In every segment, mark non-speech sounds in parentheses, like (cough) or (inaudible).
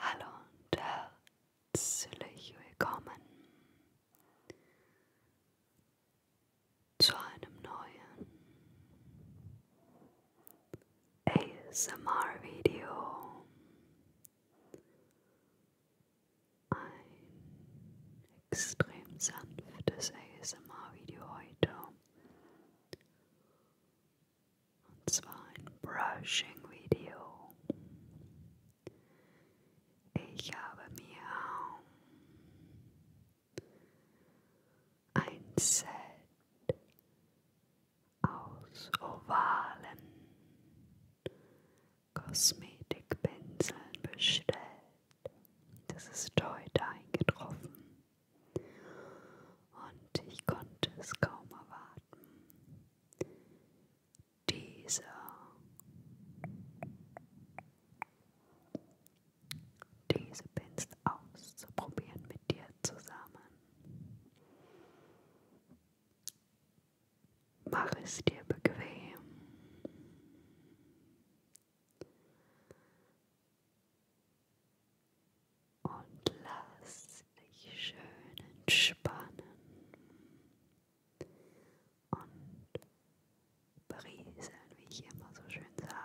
Hallo und herzlich willkommen zu einem neuen ASMR-Video ein extrem sanftes ASMR-Video heute. Und zwar ein Brushing-Video. Ich habe mir ein Set aus ovalen Kosmetikpinseln bestellt. Das ist heute eingetroffen. Und ich konnte es kaum erwarten. Dieser diese Pinsel auszuprobieren mit dir zusammen. Mach es dir bequem. Und lass dich schön entspannen und brieseln, wie ich immer so schön sage.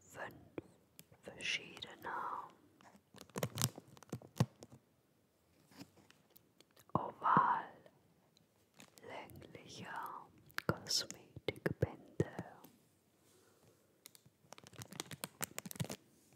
Fünf verschiedene oval längliche Kosmetikbänder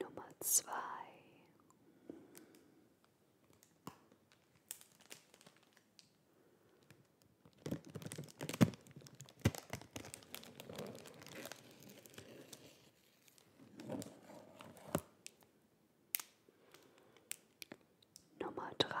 Nummer zwei. Nummer drei.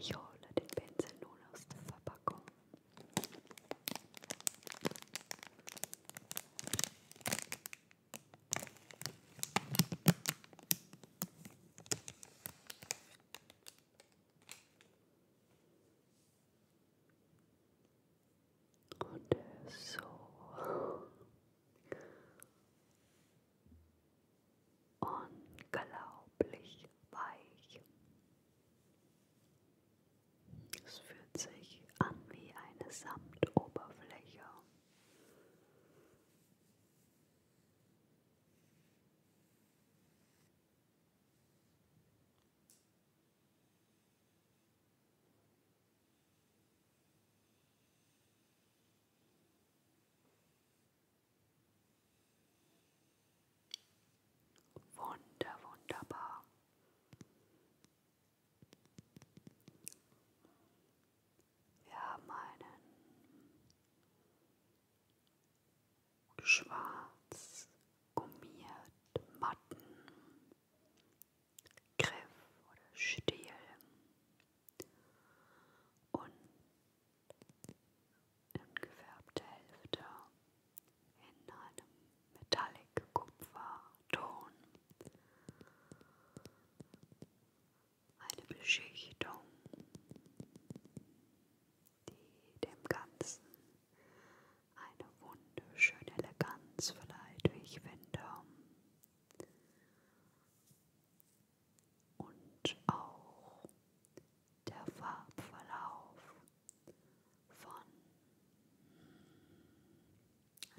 Ich hole den Pinsel nun aus der Verpackung. Und er ist so unglaublich weich. Es fühlt sich an wie eine Samtoberfläche. Wunder, wunderbar. Wir haben einen schwarz gummiert Matten, Griff oder Stiel und angefärbte Hälfte in einem metallic Kupferton. Eine Beschichtung die dem Ganzen eine wunderschöne Eleganz verleiht, wie ich finde. Und auch der Farbverlauf von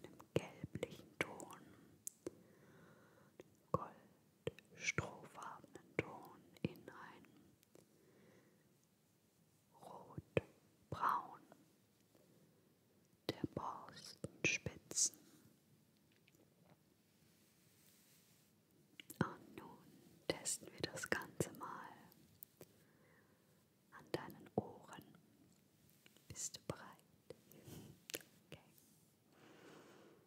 einem gelblichen Ton, Gold strohfarbenen Ton in ein Rotbraun der Borstenspitzen. Und nun testen wir das Ganze mal an deinen Ohren. Bist du bereit? (laughs) Okay.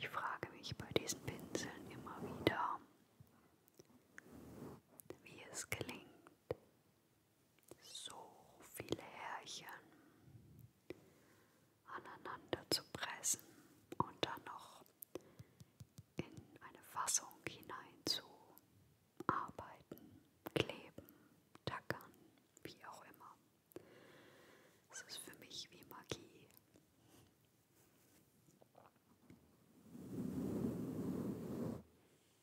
Ich frage mich bei diesen Pinseln immer wieder, wie es gelingt, so viele Härchen aneinander zu pressen und dann noch in eine Fassung hinein zu arbeiten, kleben, tackern, wie auch immer. Es ist für mich wie Magie.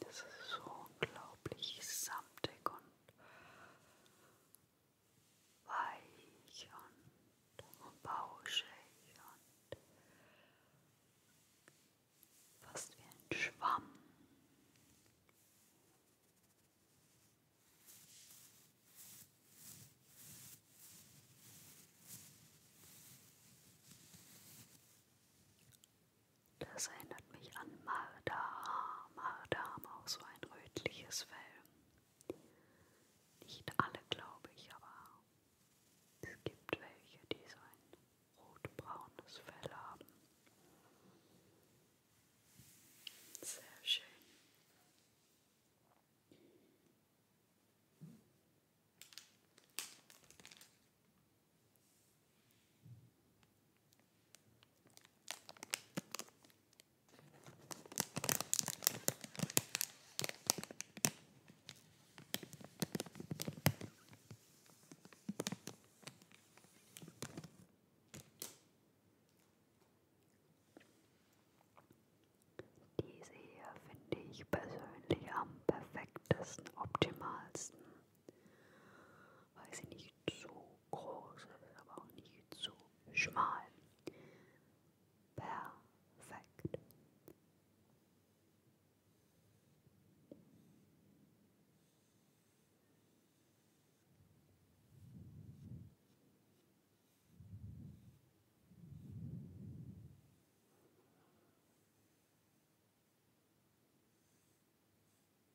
Das ist so unglaublich samtig und weich und bauschig und fast wie ein Schwamm. Das erinnert mich an Mardam. Mardam, auch so ein rötliches Fell. Nicht alle, glaube ich, aber es gibt welche, die so ein rotbraunes Fell haben. Sehr schön. Diese hier finde ich persönlich am perfektesten, optimalsten. Weiß ich nicht, zu groß, aber auch nicht zu schmal. Perfekt.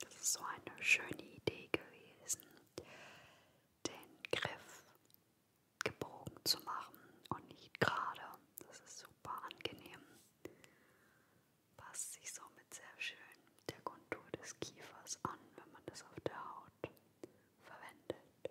Das ist so eine schöne Idee gewesen, den Griff gebogen zu machen und nicht gerade. Das ist super angenehm. Passt sich somit sehr schön der Kontur des Kiefers an, wenn man das auf der Haut verwendet.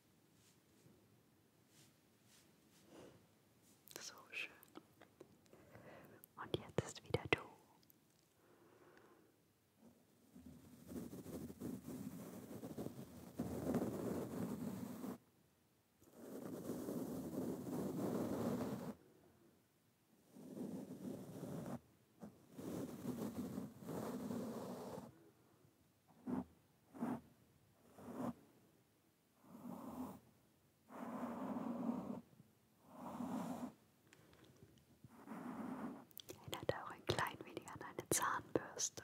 So schön. Und jetzt ist wieder du. Erinnert auch ein klein wenig an eine Zahnbürste.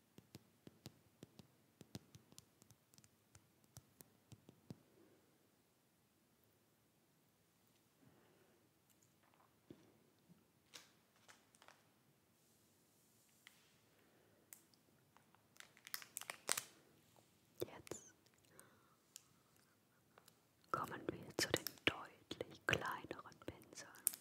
Jetzt kommen wir zu den deutlich kleineren Pinseln.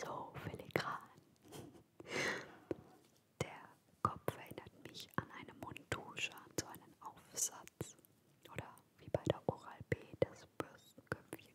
So filigran. Der Kopf erinnert mich an eine Mundtusche, an so einen Aufsatz. Oder wie bei der Oral-B das Bürstenköpfchen.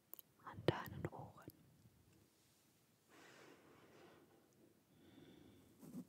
an deinen Ohren. Hm.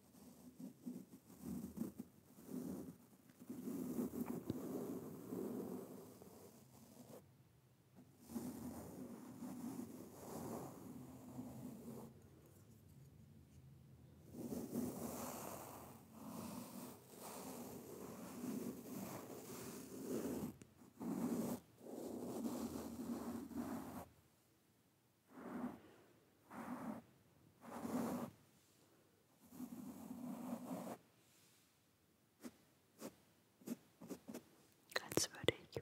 Als würde ich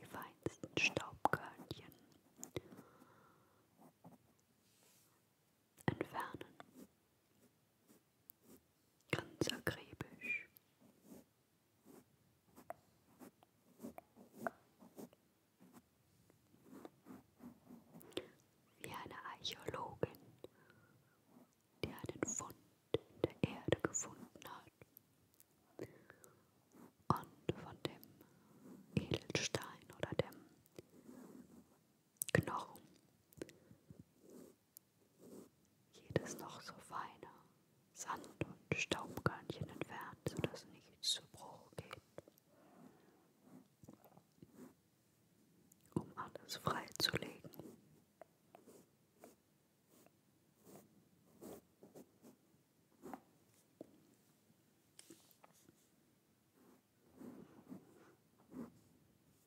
die feinsten Staubkörnchen entfernen. Ganz akribisch. Wie eine Archäologin, die einen Fund in der Erde gefunden hat und von dem Edelstein oder dem Knochen jedes noch so feine Sand- und Staubkörnchen entfernt, sodass nichts zu Bruch geht. Um alles freizulegen.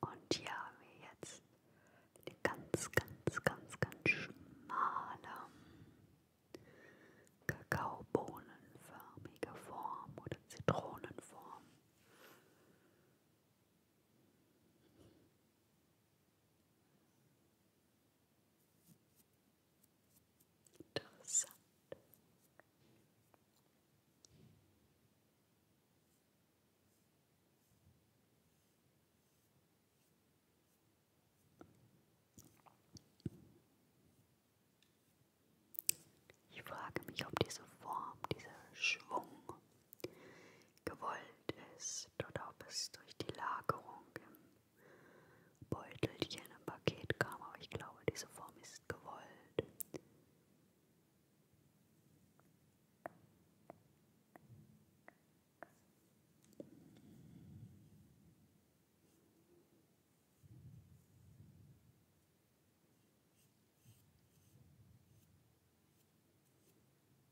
Und hier haben wir jetzt eine ganz, ganz, ganz, ganz schmale Kakaobohnenförmige Form oder Zitronenform. Interessant. Ich frage mich, ob diese Form, dieser Schwung gewollt ist oder ob es durch die Lagerung im Beutelchen im Paket kam, aber ich glaube, diese Form ist gewollt.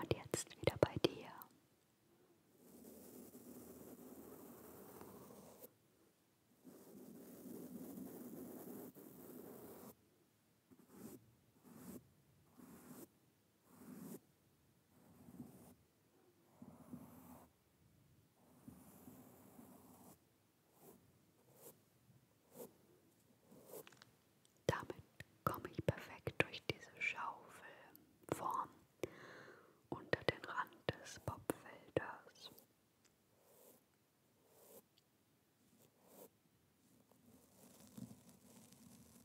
Und jetzt wieder bei dir. Damit komme ich perfekt durch diese Schaufelform unter den Rand des Popfelders.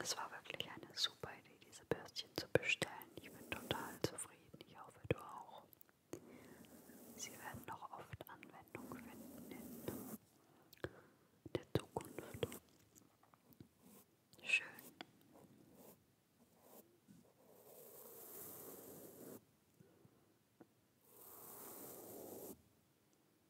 Es war wirklich eine super Idee, diese Bürstchen zu bestellen. Ich bin total zufrieden. Ich hoffe, du auch. Sie werden noch oft Anwendung finden in der Zukunft. Schön.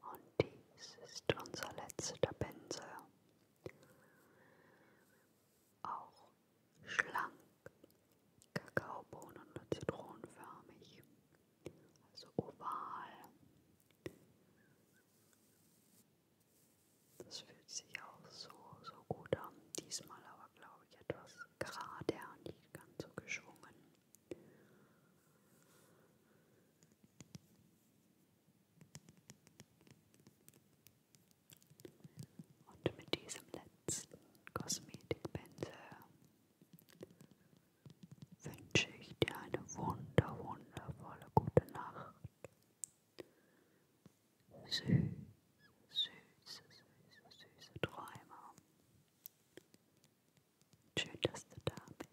Und dies ist unser letzter Pinsel. Auch auch schlank, Kakaobohnen oder zitronenförmig, also oval. Das fühlt sich auch so, so gut an. Diesmal aber glaube ich etwas gerade und nicht ganz so geschwungen. Und mit diesem letzten letzten Kosmetikpinsel wünsche ich dir eine wunder, wundervolle gute Nacht. Süß, süße, süße, süße Träume. Schön, dass du da bist.